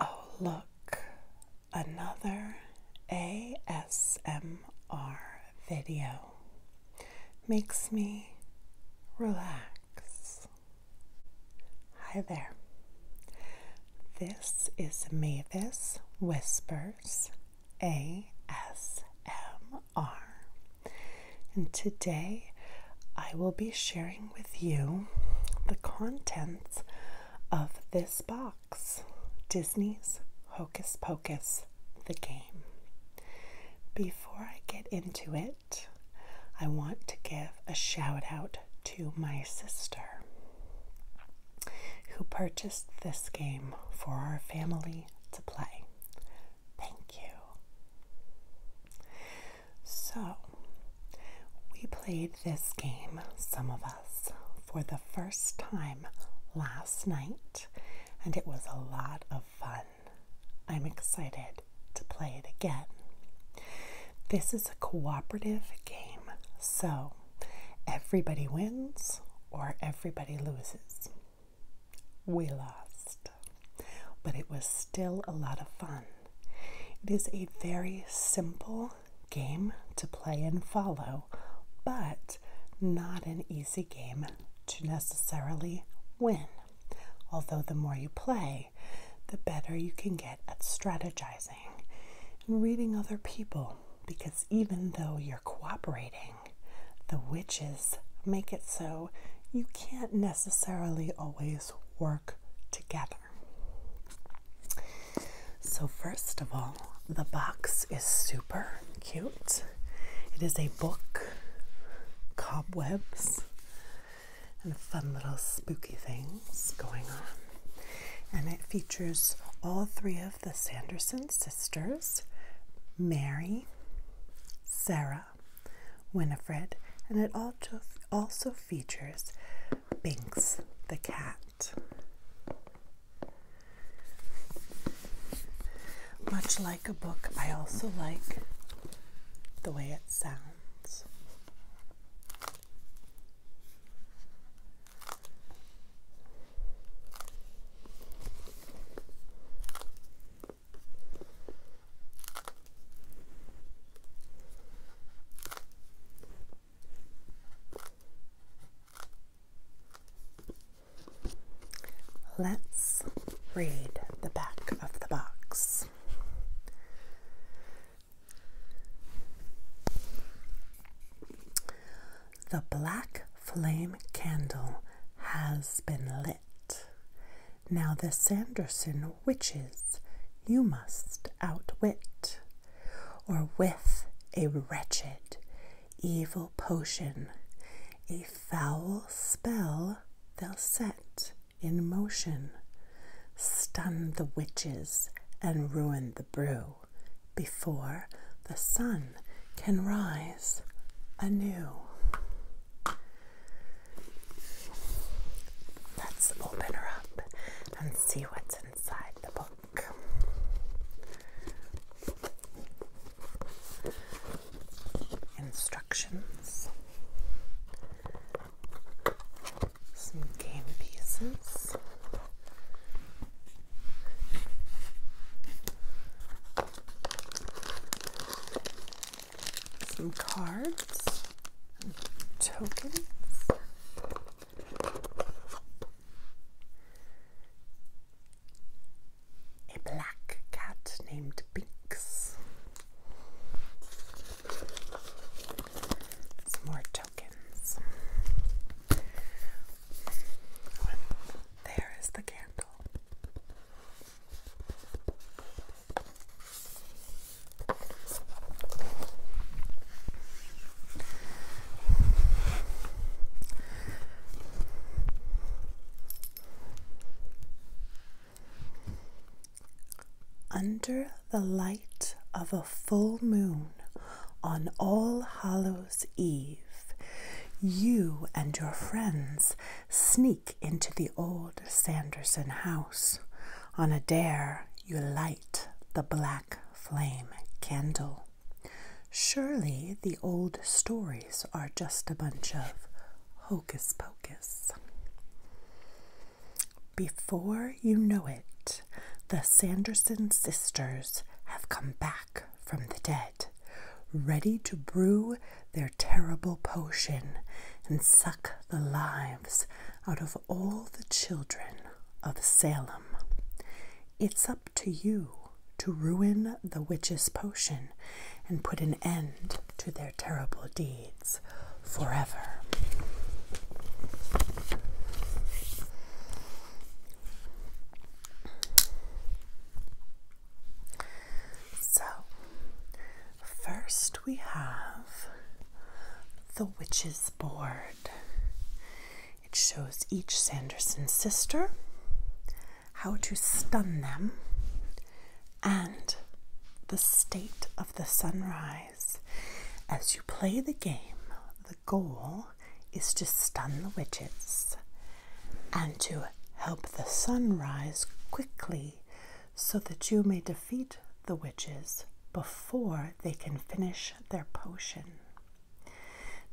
Oh, look, another ASMR video makes me relax. Hi there. This is Mavis Whispers ASMR. And today I will be sharing with you the contents of this box Disney's Hocus Pocus the Game. Before I get into it, I want to give a shout out to my sister who purchased this game for our family to play. Thank you. So, we played this game, some of us, for the first time last night, and it was a lot of fun. I'm excited to play it again. This is a cooperative game, so everybody wins or everybody loses. We lost but it was still a lot of fun. It is a very simple game to play and follow, but not an easy game to necessarily win. Although the more you play, the better you can get at strategizing and reading other people, because even though you're cooperating, the witches make it so you can't necessarily always work together. So, first of all, the box is super cute. It is a book, cobwebs, and fun little spooky things going on. And it features all three of the Sanderson sisters Mary, Sarah, Winifred, and it also features Binks the cat. Much like a book, I also like the way it sounds. Let's read the back of the box. The black flame candle has been lit. Now the Sanderson witches you must outwit, or with a wretched, evil potion, a foul spell they'll set in motion, stun the witches and ruin the brew before the sun can rise anew. Let's open her up and see what's inside the book. Instructions, some game pieces some cards, and tokens. A black cat named Binks. Some more tokens. There is the candle. Under the light of a full moon on All Hallows' Eve, you and your friends sneak into the old Sanderson house on a dare you light the black flame candle. Surely the old stories are just a bunch of hocus pocus. Before you know it, the Sanderson sisters have come back from the dead, ready to brew their terrible potion and suck the lives out of all the children of Salem. It's up to you to ruin the witch's potion and put an end to their terrible deeds forever. So, first we have the witch's board. It shows each Sanderson sister, how to stun them, and the state of the sunrise. As you play the game, the goal is to stun the witches and to help the sun rise quickly so that you may defeat the witches before they can finish their potion.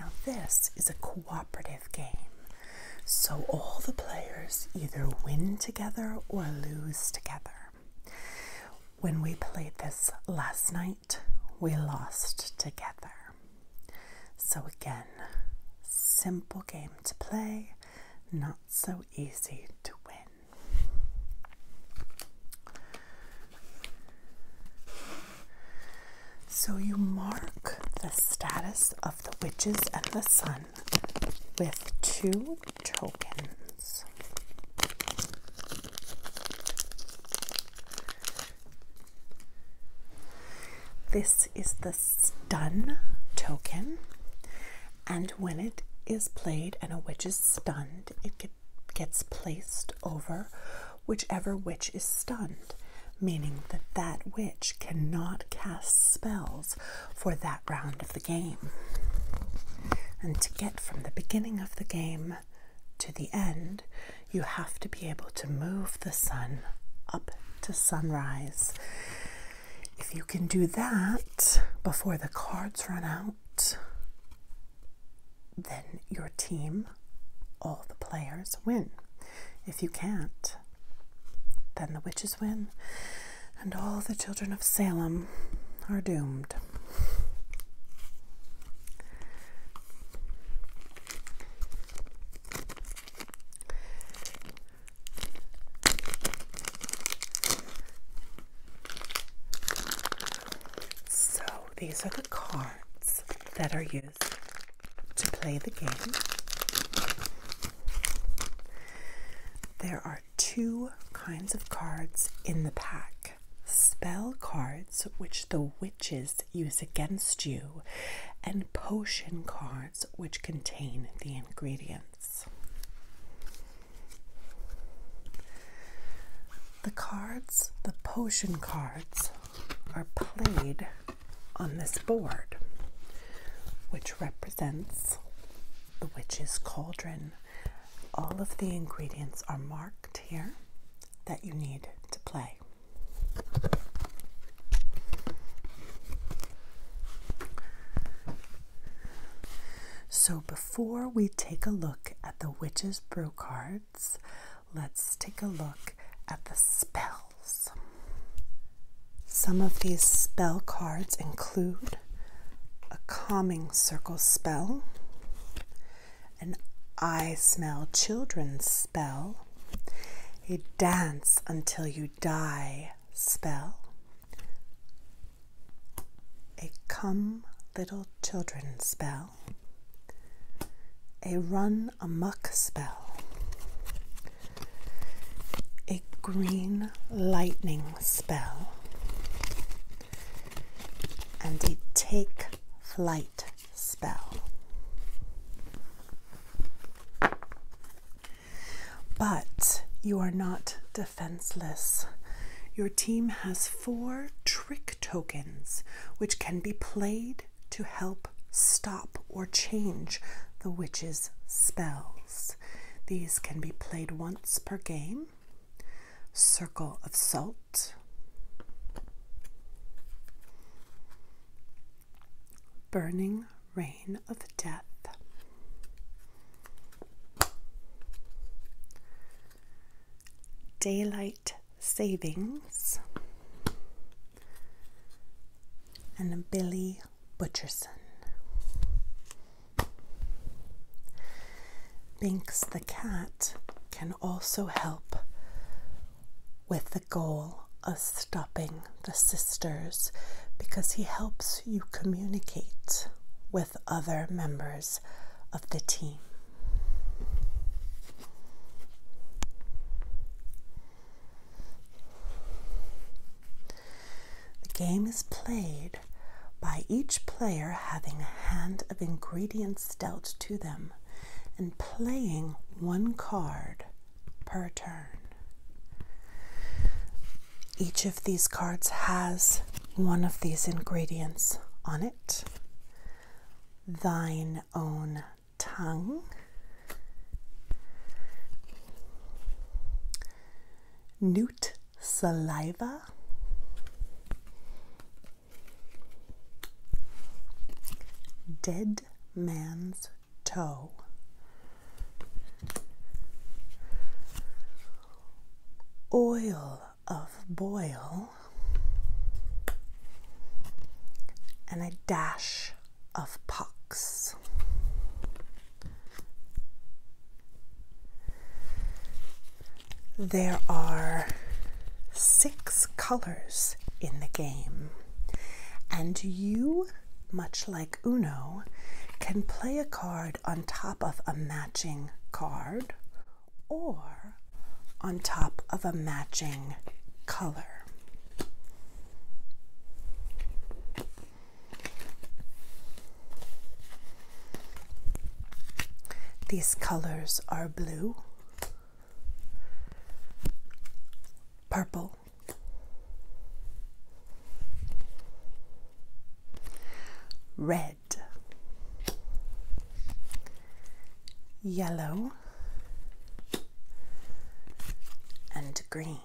Now, this is a cooperative game, so all the players either win together or lose together. When we played this last night, we lost together. So, again, simple game to play, not so easy to win. So, you mark the status of the witches and the sun with two tokens. This is the stun token, and when it is played and a witch is stunned, it gets placed over whichever witch is stunned, meaning that that witch cannot cast spells for that round of the game. And to get from the beginning of the game to the end, you have to be able to move the sun up to sunrise. If you can do that before the cards run out, then your team, all the players, win. If you can't, then the witches win, and all the children of Salem are doomed. So, these are the cards that are used to play the game. There are two kinds of cards in the pack spell cards which the witches use against you, and potion cards which contain the ingredients. The cards, the potion cards, are played on this board, which represents the witch's cauldron. All of the ingredients are marked here that you need to play. So, before we take a look at the Witch's Brew cards, let's take a look at the spells. Some of these spell cards include a calming circle spell, an I smell children's spell, a dance until you die spell, a come little children spell, a run amuck spell, a green lightning spell, and a take flight spell. But you are not defenseless. Your team has four trick tokens which can be played to help stop or change the witch's spells. These can be played once per game circle of salt, burning rain of death, daylight savings, and Billy Butcherson. Binks the cat can also help with the goal of stopping the sisters because he helps you communicate with other members of the team. The game is played by each player having a hand of ingredients dealt to them and playing one card per turn. Each of these cards has one of these ingredients on it thine own tongue, newt saliva. Dead man's toe. Oil of boil. And a dash of pox. There are six colors in the game, and you, much like Uno, can play a card on top of a matching card or on top of a matching color. These colors are blue, purple, red, yellow, and green.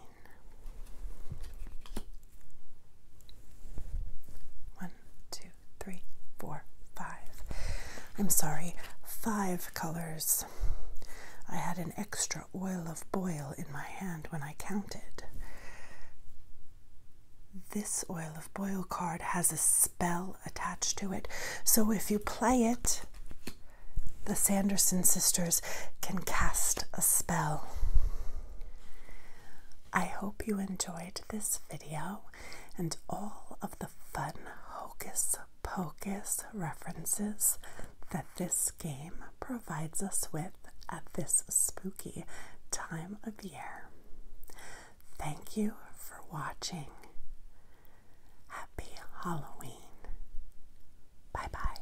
One, two, three, four, five. I'm sorry, five colors. I had an extra oil of boil in my hand when I counted. This oil of boil card has a spell attached to it, so if you play it, the Sanderson sisters can cast a spell. I hope you enjoyed this video and all of the fun hocus pocus references that this game provides us with at this spooky time of year. Thank you for watching. Happy Halloween. Bye bye.